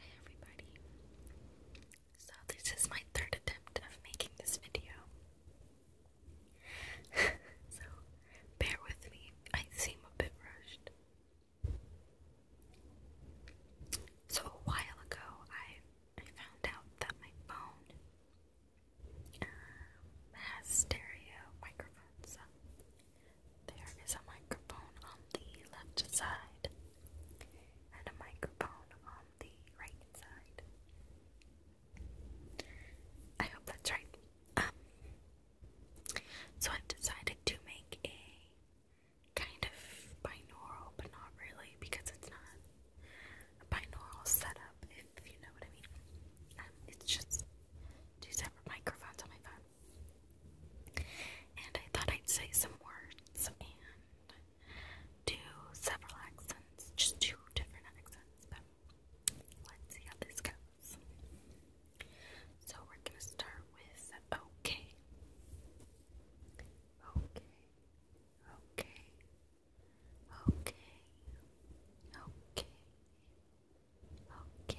Hi everybody. So this is my third attempt of making this video. so bear with me. I seem a bit rushed. So a while ago I found out that my phone uh, has stereo microphones. There is a microphone on the left side and a microphone on the right side. I hope that's right. Um, so I've decided to make a kind of binaural, but not really because it's not a binaural setup, if you know what I mean. Um, it's just two separate microphones on my phone. And I thought I'd say some words and do several accents, just two different accents, but let's see how this goes. So we're gonna start with okay. Okay. Okay. Okay. Okay. Okay.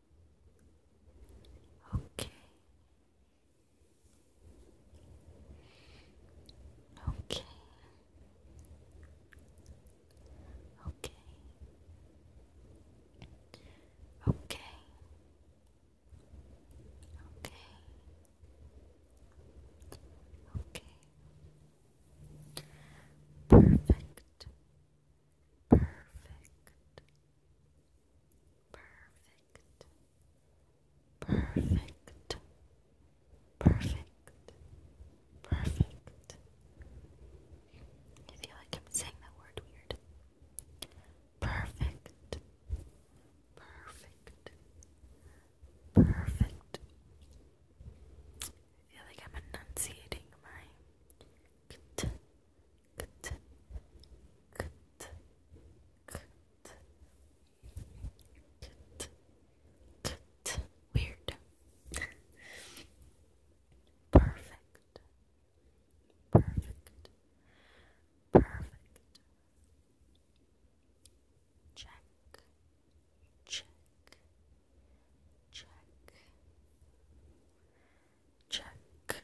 Okay. Okay. Okay. Okay. Okay. Okay. Perfect. Perfect. Perfect. Perfect. Perfect. Perfect. I feel like I'm saying that word weird. Perfect. Perfect. Perfect. I feel like I'm enunciating my Weird. Perfect. Perfect. Perfect. Check. Check. Check. Check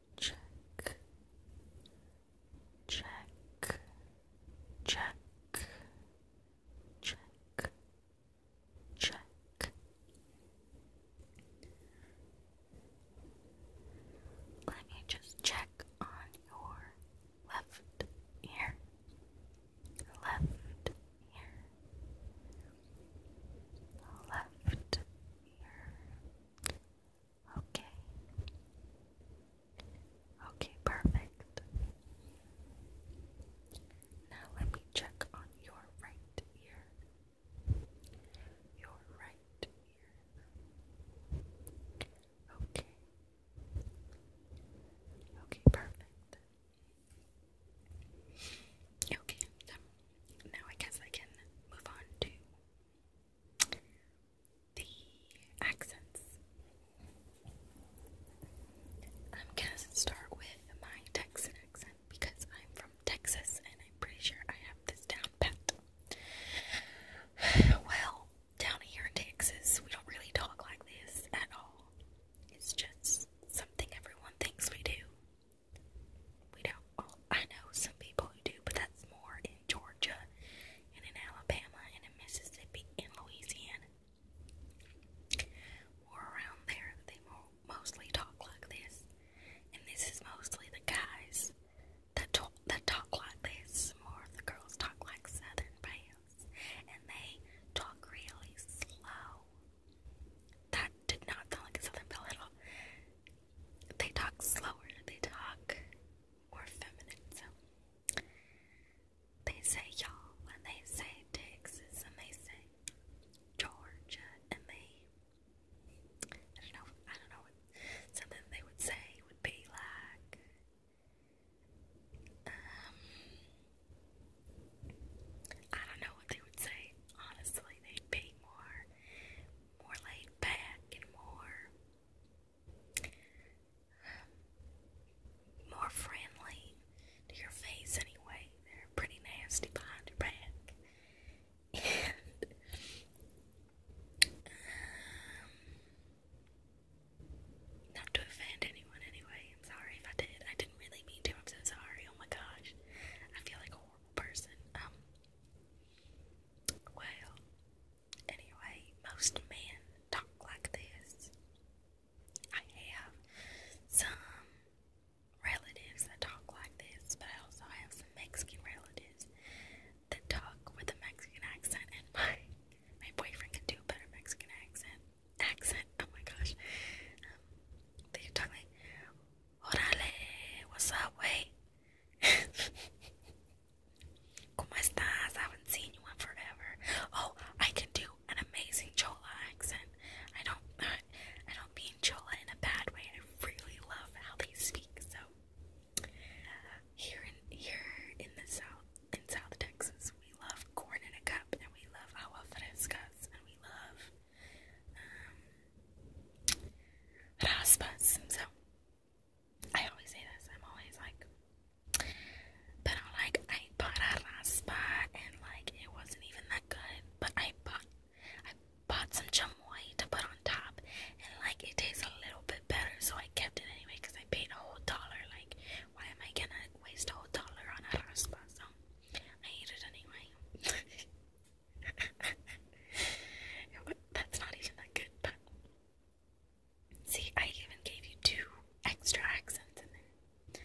check, check, check, check, check. Let me just check on your left ear, left ear, left ear. Okay. Okay, perfect. Now let me check on your right ear. Your right ear. Okay. Okay, perfect. Okay, um, now I guess I can move on to the accents. I'm gonna start with my Texan accent because I'm from Texas and I'm pretty sure I have this down pat. Well, down here in Texas, we don't really talk like this at all. It's just something everyone thinks we do. We don't. I know some people who do, but that's more in Georgia and in Alabama and in Mississippi and Louisiana. More around there, they mostly talk like this, and this is mostly the guys that talk that talk like this. More of the girls talk like Southern belles, and they talk really slow. That did not sound like a Southern belle at all they talk slower, they talk more feminine. So they say y'all, and they say Texas, and they say Georgia, and they I don't know, I don't know what something they would say would be like. Um, I don't know what they would say. Honestly, they'd be more more laid back and more um, more friendly to your face anyway. They're pretty nasty behind your back. And um, not to offend anyone anyway. I'm sorry if I did. I didn't really mean to. I'm so sorry. Oh my gosh. I feel like a horrible person. Um well, anyway, most men talk like this. I have some relatives that talk like this, but I have some Mexican relatives that talk with a Mexican accent, and my my boyfriend can do a better Mexican accent. Accent? Oh my gosh! Um, they talk like Órale, what's up, wey? ¿Cómo estás? I haven't seen you in forever. Oh, I can do an amazing Chola accent. I don't, I don't mean Chola in a bad way. I really love how they speak. So here in here in the south, in South Texas, we love corn in a cup, and we love agua frescas, and we love um, raspas. So I always say this. I'm always like, but i like, I bought a raspa and like it wasn't even that good. But I bought, I bought some chamoy to put on top, and like it tastes a little bit better. So I kept it anyway because I paid a whole dollar. Like, why am I gonna waste a whole dollar on a raspa? So I ate it anyway. That's not even that good, see, I even gave you two extra accents in there.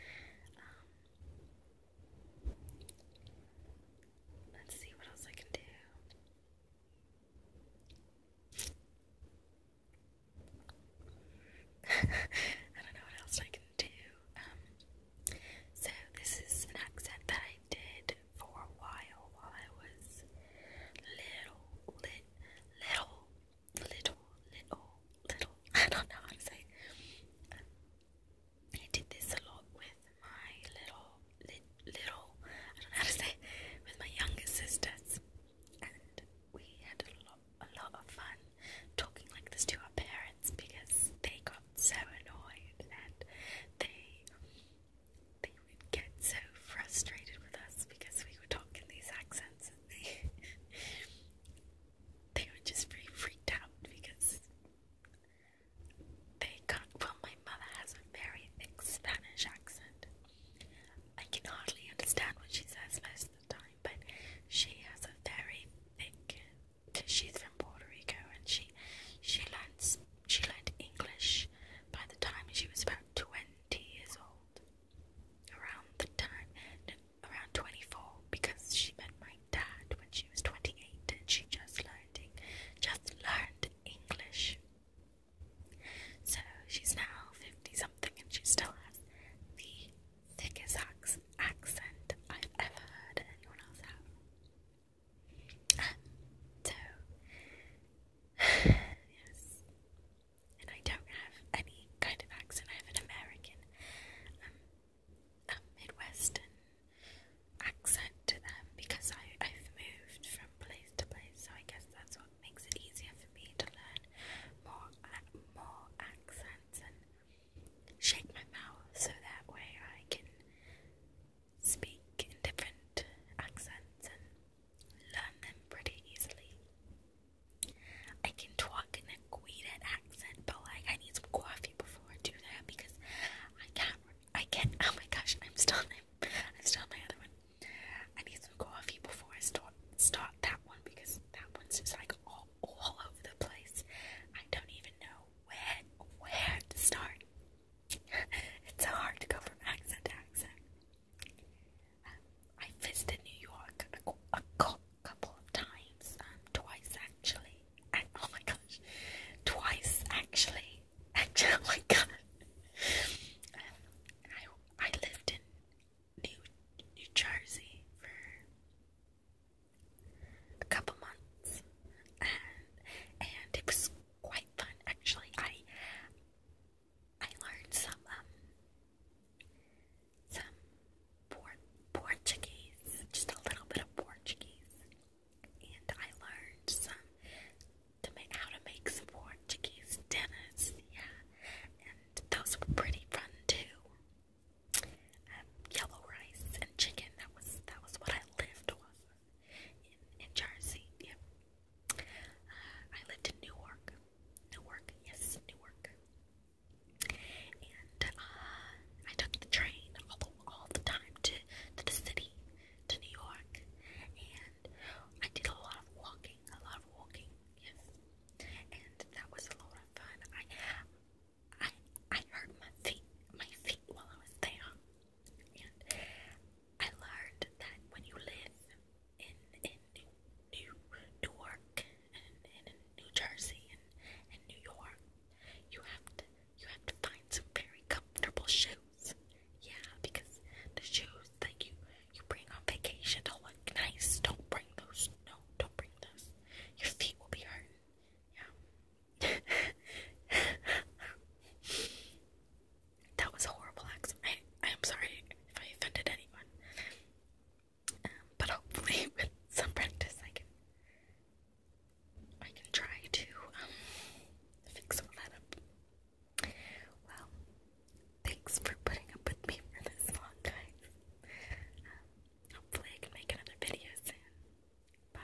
Um, let's see what else I can do. I don't know what else I can do. Um, so this is an accent that I did for a while while I was little, lit, little, little, little, little. I don't know how to say. Um, I did this a lot with my little, little. I don't know how to say. With my younger sisters, and we had a lot, a lot of fun talking like this to our parents because they got so annoyed and they they would get so frustrated with us because we would talk in these accents and they they were just very freaked out because they can't well my mother has a very thick Spanish accent. I can hardly understand what she says most of the time, but she has a very thick because she's Puerto Rico, and she she learned she learned English by the time she was about twenty years old. Around the time, around twenty four, because she met my dad when she was twenty eight, and she just learned just learned English. So she's now fifty something, and she still has the thickest accent I've ever heard anyone else have so yes, and I don't have any kind of accent. I have an American, a um, um, Midwestern accent um, because I I've moved from place to place, so I guess that's what makes it easier for me to learn more uh, more accents and shake my mouth so that way I can speak in different accents and learn them pretty easily. I can talk in a Guinan accent, but like I need some coffee before I do that because I can't. I can't. Oh my gosh, I'm still. i I'm still my other one. I need some coffee before I start start that one because that one's just like all, all over the place. I don't even know where where to start it's so hard to go from accent to accent. I visited New York a, a couple of times, um, twice actually. oh my gosh, twice actually. Actually, oh my god. I I lived in New New Jersey for a couple months, and and it was quite fun actually. I I learned some um some port Portuguese, just a little bit of Portuguese, and I learned some to make how to make some Portuguese dinners. Yeah, and those were pretty fun too. Um, yellow rice and chicken. That was that was what I lived off of in, in Jersey. Yeah. Uh, I lived in Newark. Newark, yes, Newark. And uh, I took the train all the, all the time to, to the city, to New York. And I did a lot of walking, a lot of walking, yes. And that was a lot of fun. I I I hurt my feet, my feet while I was there. And I learned that when you live in in New York and in New Jersey and, and New York, you have to you have to find some very comfortable shoes. Yeah, because the shoes that you you bring on vacation don't look nice. Don't bring those. No, don't bring those. Your feet will be hurting. Yeah. that was a horrible accent. I, I am sorry if I offended anyone. Um, but hopefully, with some practice, I can I can try to um, fix all that up. Well, thanks for putting up with me for this long, guys. Um, hopefully, I can make another video soon. Bye.